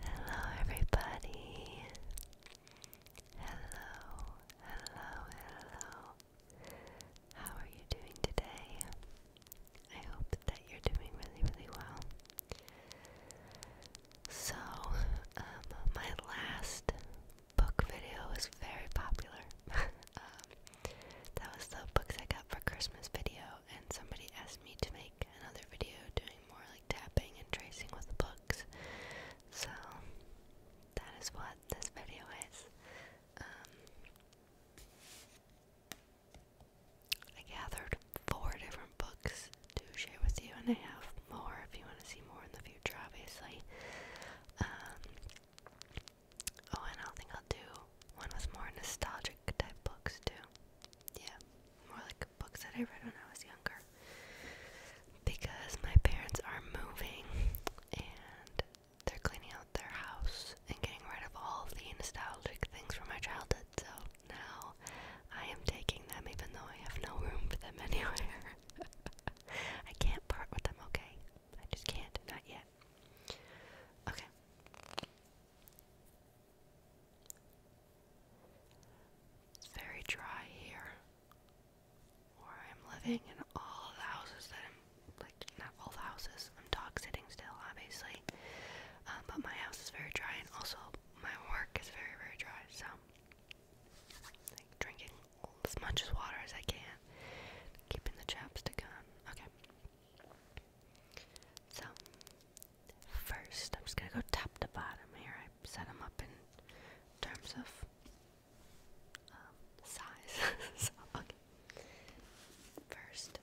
Hello, everybody. Hello, hello, hello. How are you doing today? I hope that you're doing really, really well. So, um, my last book video was very popular. Um, that was the books I got for Christmas video, and somebody asked me to make another video doing more like tapping and tracing with books. So that is what this video is. Um, I gathered four different books to share with you, and I have more if you want to see more in the future, obviously. Um, oh, and I think I'll do one with more nostalgic type books too yeah, more like books that I read when I was younger. Because my parents are moving and they're cleaning out their house and getting rid of all the nostalgic things from my childhood. So now I am taking them, even though I have no room for them anywhere. I can't part with them, okay? I just can't, not yet. Okay. It's very dry here where I'm living, and all the houses that I'm like, not all the houses, I'm dog sitting still, obviously. Um, but my house is very dry, and also my work is very, very dry, so like drinking as much as water as I can, keeping the chapstick on. Okay. So, first. I'm just gonna go top to bottom here. I set them up in terms of um, size. so, okay. First,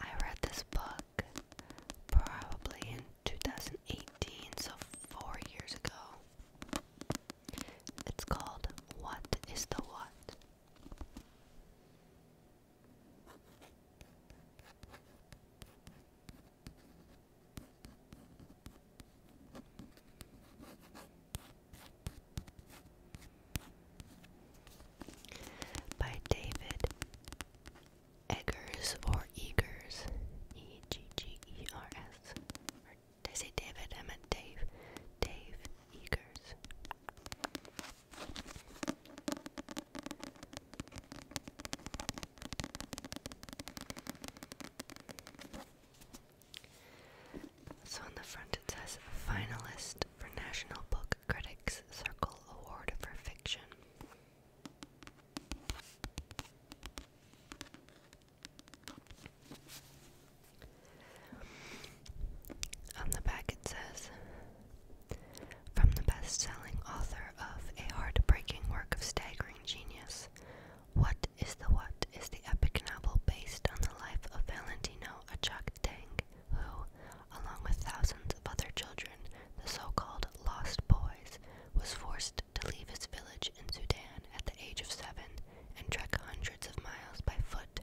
I read this book probably in 2018, so four years ago. It's called What is the What? by David Eggers or Eggers, E G G E R S. Or say David? I Dave. Dave Eggers. So on the front it says finalist for National Book Critics Circle Award for Fiction. On the back it says from the best selling author of a heartbreaking work of staggering genius, What is the What is the epic novel based on the life of Valentino Achak-Tang, who, along with thousands of other children, the so called Lost Boys, was forced to leave his village in Sudan at the age of seven and trek hundreds of miles by foot,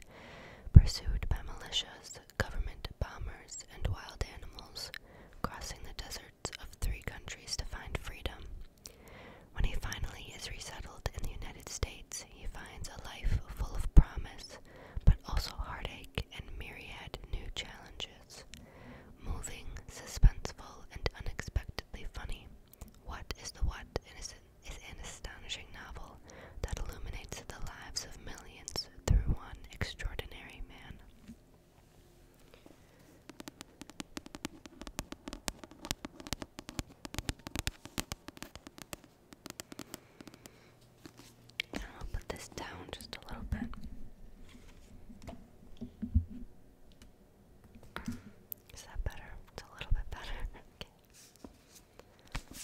pursued by militias, government bombers, and wild animals, crossing the deserts of three countries to find freedom. When he finally is resettled in the United States, he finds a life full of promise, but also heartache and myriad new challenges. Moving, suspenseful, and unexpectedly funny, What is the What is an astonishing novel that illuminates the lives of millions through One Extraordinary Man. And I'll put this down just a little bit. Is that better? It's a little bit better. okay.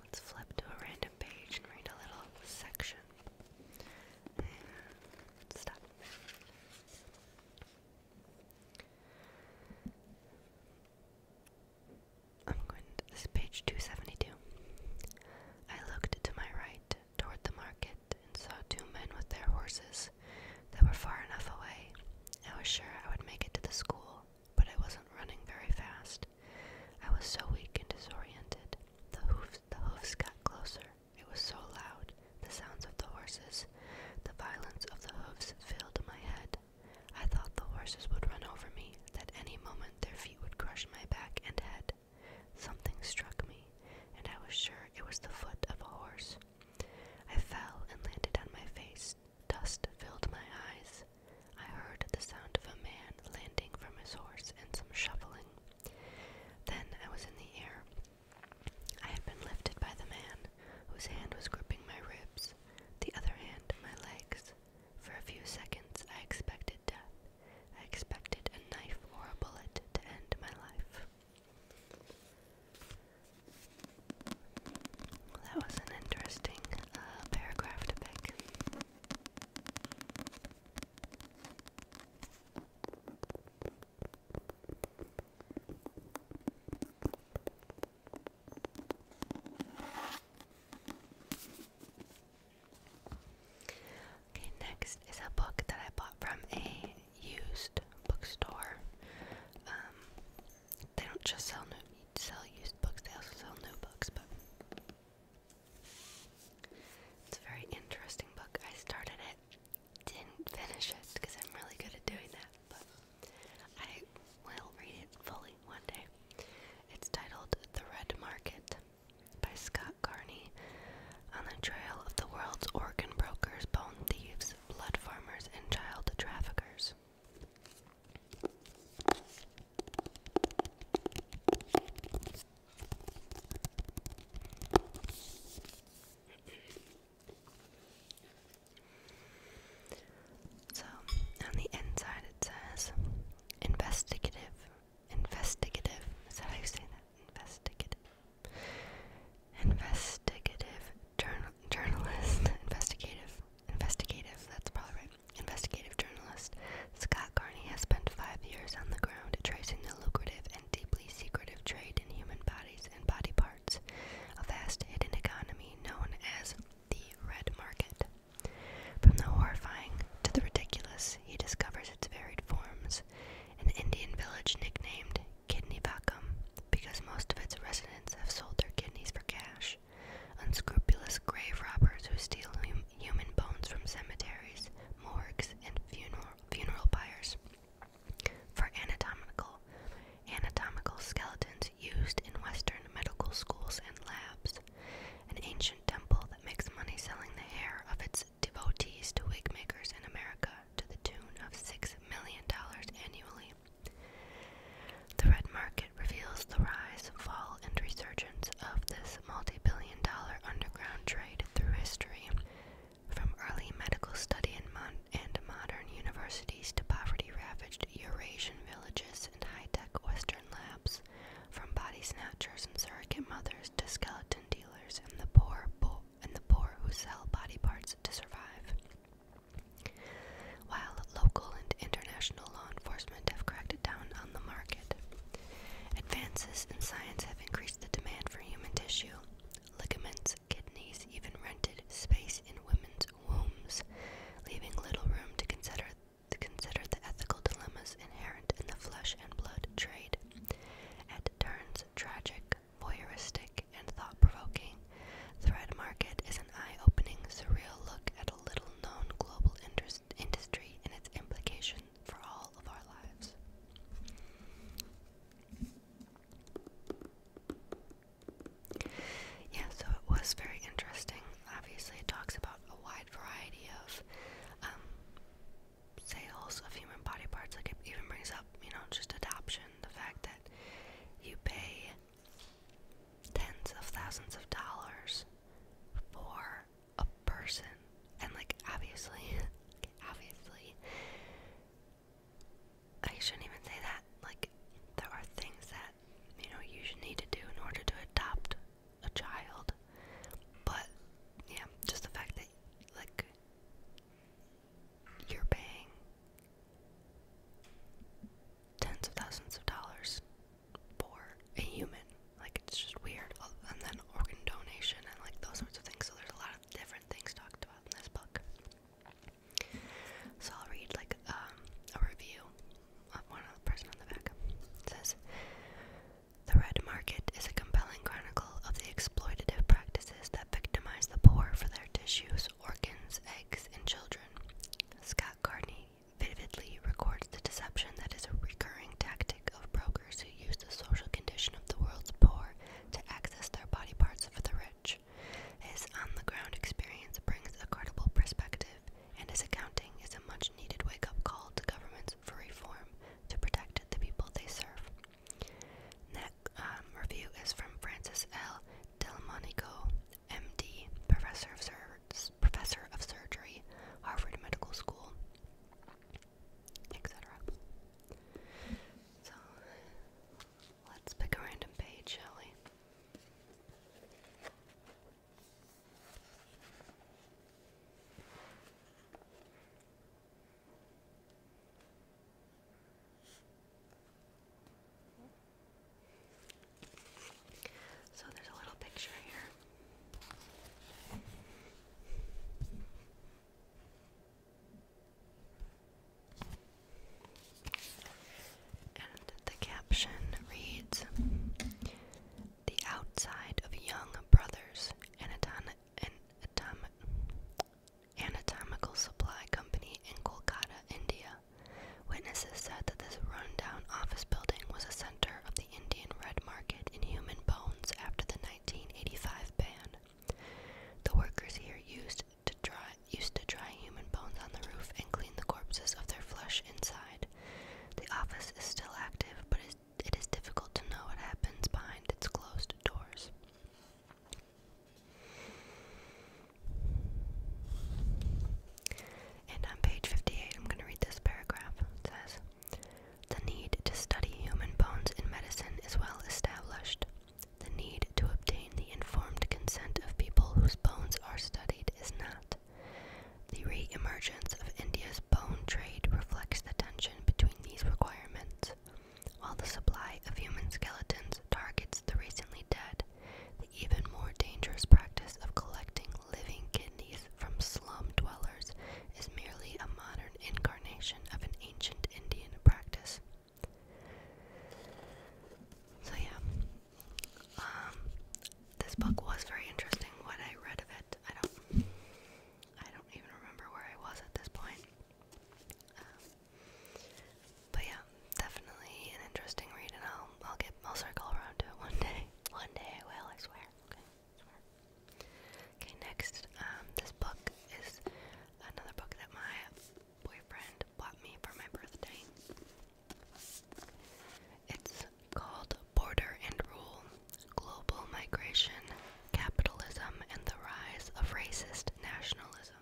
Let's flip to a random page and read a little section. And stop. I'm going to, this page 272. I looked to my right toward the market and saw two men with their horses that were far enough away. I was sure I would make it to the school, but I wasn't running very fast. I was so weak and disoriented. The hoofs, the hoofs got closer. It was so loud, the sounds of the horses. The violence of the hoofs filled my head. I thought the horses would run over me, that any moment their feet would crush my back and head. Something struck me, and I was sure it was the foot of a horse. I fell and landed on my face. Dust filled my eyes. I heard the sound of a man landing from his horse and some shuffling. Then I was in the air. I had been lifted by the man, whose hand was gripping my ribs, the other hand my legs. For a few seconds I expected death, I expected a knife or a bullet to end my life. that was an interesting uh, paragraph to pick. Okay, next is a book that I bought from a used bookstore. Um, they don't just sell sell used books; they also sell new books. But it's a very interesting book. I started it, didn't finish it because I'm really good at doing that. But I will read it fully one day. It's titled The Red Market by Scott Carney on the trail of the world's organ brokers, bone thieves, blood farmers, and child traffickers. So, on the inside it says investigative investigative. Is that how you say that? Investigative. Investigative journalist. investigative. Investigative. That's probably right. Investigative journalist Scott Carney has spent five years on the ground tracing the lucrative and deeply secretive trade in human bodies and body parts, a vast hidden economy known as the red market. From the horrifying to the ridiculous, he discovers its varied forms, an Indian village nicknamed Kidney Buckham because most of its residents have sold their kidneys for cash. Unscrupulous grave robbers who steal human bones from cemeteries, morgues, and funeral funeral pyres for anatomical anatomical skeletons used in Western medical schools and labs. An ancient temple that makes money selling the hair of its devotees to wig makers in America to the tune of $6 million annually. The red market reveals the rise, fall, and resurgence of this multi billion dollar underground trade through history. From early medical study in mon and modern universities to poverty ravaged Eurasian villages and high tech Western labs, from body snatchers and surrogate mothers to skeleton dealers and the poor and the poor who sell body parts to survive. While local and international law enforcement have cracked down on the market, advances in science have increased the demand for human tissue, ligaments, kidneys, even rented space in women's wombs, leaving little room to consider the ethical dilemmas inherent in the flesh and blood trade. At turns tragic, voyeuristic, and thought provoking, Thread Market is an eye opening, surreal look at a little known global industry and its implications for all of our lives. Yeah, so it was very interesting. Obviously, it talks about a wide variety of um, sales of human body parts. Like it even brings up, you know, just adoption, the fact that you pay tens of thousands of dollars for a person. And like obviously, obviously, I shouldn't even say that. Like there are things that, you know, you should need to do in order to adopt a child. But yeah, just the fact that like you're paying tens of thousands of dollars for a human. Like it's just weird. Oh, and then organ donation and like those sorts of things. So there's a lot of different things talked about in this book. So I'll read like um, a review of one of the person on the back. It says the Red Market is a compelling chronicle of the exploitative practices that victimize the poor for their tissues, organs, eggs, and children. Scott Carney vividly records the deception that is a recurring tactic of brokers who use the social condition of the world's poor to access their body parts for the rich. His on the ground experience brings a credible perspective, and his accounting is a much needed wake up call to governments for reform to protect the people they serve. That um, review is from Francis L. Delmonico, MD, professor of, surgery, Harvard Medical School, etc. So let's pick a random page, shall we? So there's a little picture here. And the caption reads the outside of young brothers, anatom an anatomical supply company in Kolkata, India. Witnesses said that this rundown office building was a center of the Indian red market in human bones after the 1985 ban. The workers here used to dry used to dry human bones on the roof and clean the corpses of their flesh inside. The office is still active but is it is difficult to know what happens behind its closed doors. And on page 58, I'm going to read this paragraph. It says, The need to study human bones in medicine is well established. The need to obtain the informed consent of people whose bones are studied is not. The re emergence of India's bone trade reflects the tension between these requirements. While the supply of human skeletons targets the recently dead, the even more dangerous practice of collecting living kidneys from slum dwellers is merely a modern incarnation of an ancient Indian practice. So, yeah, um, this book was very interesting. What I read of it, I don't. I don't even remember where I was at this point. Um, but yeah, definitely an interesting read, and I'll I'll get I'll circle around to it one day. One day I I swear. Okay, next, um, this book is another book that my boyfriend bought me for my birthday. It's called Border and Rule Global Migration, Capitalism, and the Rise of Racist Nationalism.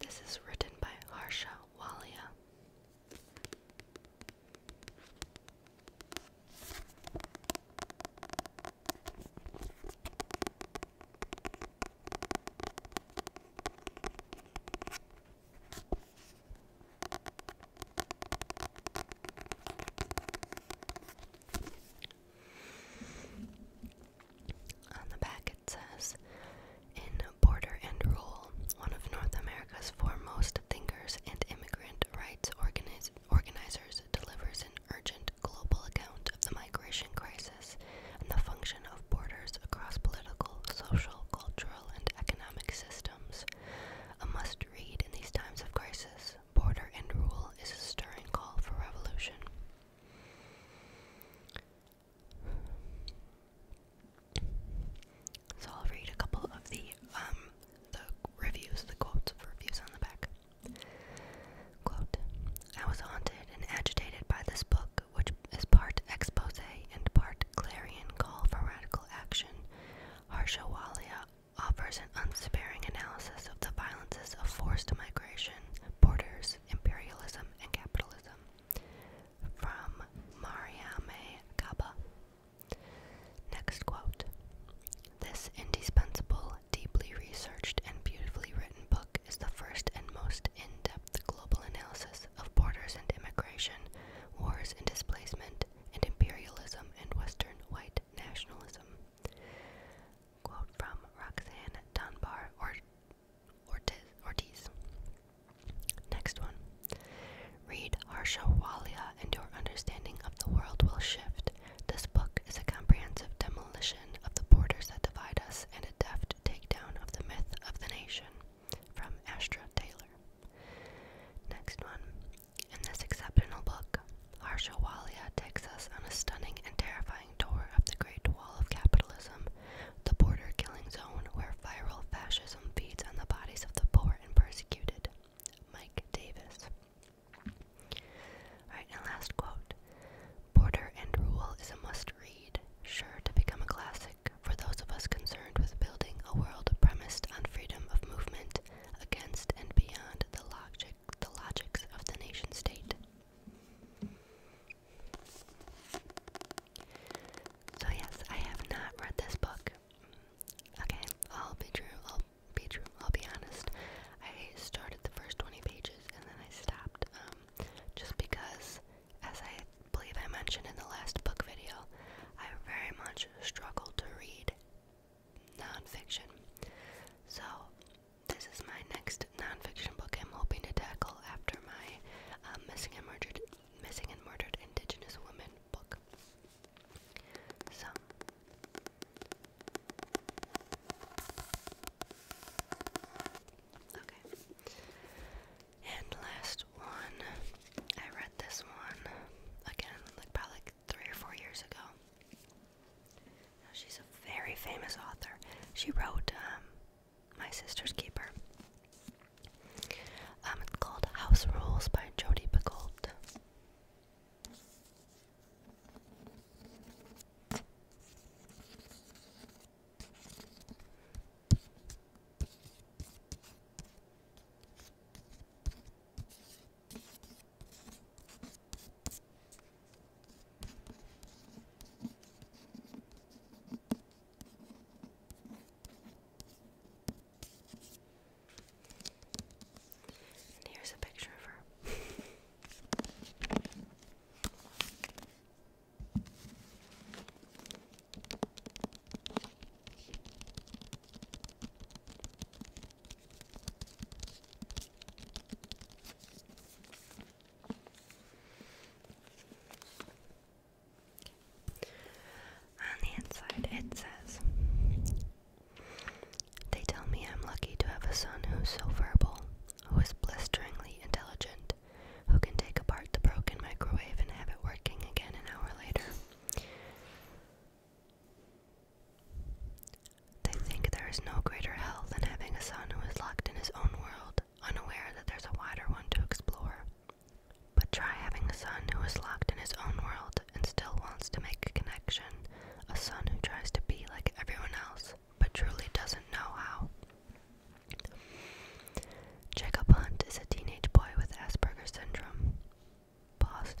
This is written by Harsha Walia. On the back it says, in Border and Rule, one of North America's foremost thinkers and immigrant rights organizers delivers an urgent global account of the migration crisis and the function of borders across political, social, cultural, and economic systems. A must read in these times of crisis, Border and Rule is a stirring call for revolution. So I'll read a couple of the um, reviews, the quotes reviews on the back. I was haunted and agitated by this book, which is part expose and part clarion call for radical action. Harsha Walia offers an unsparing analysis of the violences of forced migration Borders, Imperialism, and Capitalism from Mariame Kaba. Next quote This indispensable, deeply researched, and beautifully written book is the first and most in depth global analysis of borders and immigration, wars and displacement, and imperialism and Western white nationalism. Quote from Roxanne Dunbar Ortiz. Next one. Read Harshawalia and your understanding of the world will shift. This book is a comprehensive demolition of the borders that divide us and a deft takedown of the myth of the nation. From Astra Taylor. Next one. In this exceptional book, Larshawalia takes us on a stunning and terrifying tour of the Great Wall of Capitalism, the border killing zone where viral fascism feeds on the bodies of the poor and persecuted. Mike Davis. Alright, and last quote Border and Rule is a must read, sure to become a classic for those of us concerned with building a world premised on freedom of movement against and beyond the logics of the nation state. So yes, I have not read this book. Okay, I'll be true. I'll be true. I'll be honest. I started the first 20 pages and then I stopped um, just because as I believe I mentioned in the last book video, I very much struggle to read nonfiction. So this is my next nonfiction book I'm hoping to tackle after my um, Missing and Murdered Missing and Murdered Indigenous Women book. So Okay. And last one. I read this one again like probably like three or four years ago she's a very famous author. She wrote um, My Sister's Keeper. Um, it's called House Rules by Jodi Picoult. And here's a picture of her. On the inside, it says, They tell me I'm lucky to have a son who's so verbal, who is blisteringly intelligent, who can take apart the broken microwave and have it working again an hour later. They think there is no greater hell than having a son who is locked in his own world, unaware that there's a wider one to explore. But try having a son who is locked in his own world and still wants to make a connection, a son who tries to be like everyone else but truly doesn't know how. Jacob Hunt is a teenage boy with Asperger's syndrome. Pause.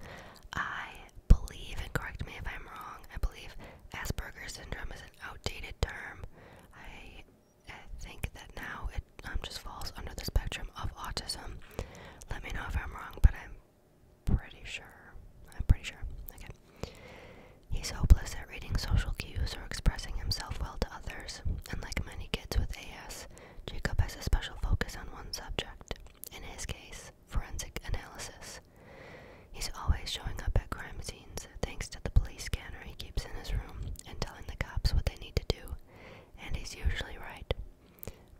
I believe, and correct me if I'm wrong, I believe Asperger's syndrome is an outdated term. I, think that now it um, just falls under the spectrum of autism. Let me know if I'm wrong, but I'm pretty sure. I'm pretty sure. Okay. He's hopeless at reading social cues or expressing himself well to others, and like many kids with AS, Jacob has a special focus on one subject. In his case, forensic analysis. He's always showing up at crime scenes thanks to the police scanner he keeps in his room and telling the cops what they need to do, and he's usually right.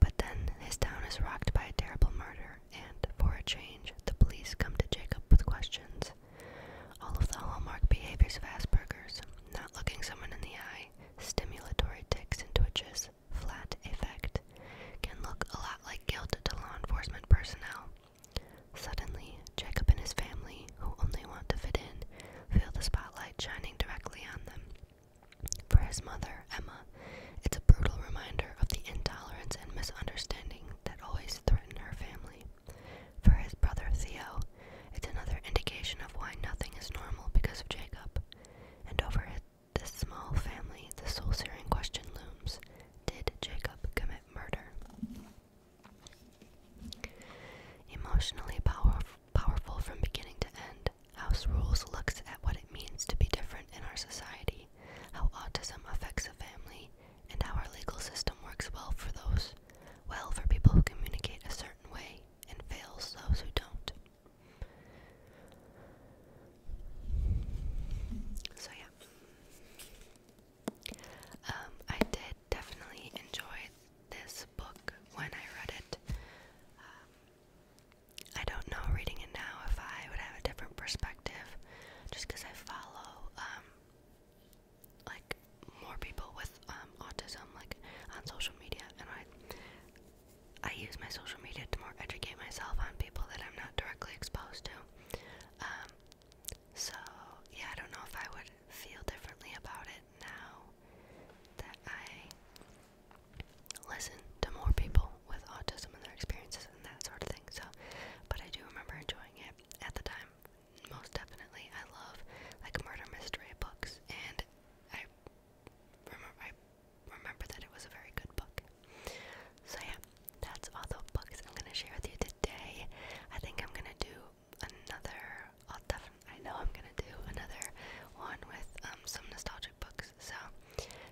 But then his town is rocked by a terrible murder, and for a change, the police come to Jacob with questions. All of the hallmark behaviors of Asperger's not looking someone in the eye, stimulatory tics and twitches, flat affect, can look a lot like guilt to law enforcement personnel. Suddenly, Jacob and his family, who only want to fit in, feel the spotlight shining directly on them. For his mother, Emma, it's a brutal reminder of the intolerance and misunderstanding that always threaten her family. For his brother, Theo, it's another indication of why nothing is normal because of Jacob. And over this small family, the soul searing question looms did Jacob commit murder? Emotionally power powerful from beginning to end, House Rules looks at what it means to be different in our society, how autism affects a family, and how our legal system works well for those, well for people who communicate a certain way, and fails those who don't. So yeah. Um, I did definitely enjoy this book when I read it. Um, I don't know reading it now if I would have a different perspective, just because I follow um, like more people with autism, like on social media, and I I use my social media to more educate myself on people that I'm not directly exposed to. Um, so yeah, I don't know if I would feel differently about it now that I listen to more people with autism and their experiences and that sort of thing. So, but I do remember enjoying it at the time, most definitely. I love like murder mystery books, and I remember I remember that it was a very good book. So yeah, that's all the books I'm gonna share with you today. I think I'm gonna do another. i know I'm gonna do another one with um, some nostalgic books. So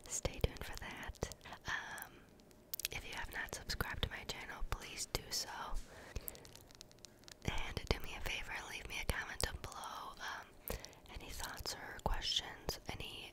stay tuned for that. Um, if you have not subscribed to my channel, please do so. And do me a favor, leave me a comment down below. Um, any thoughts or questions, any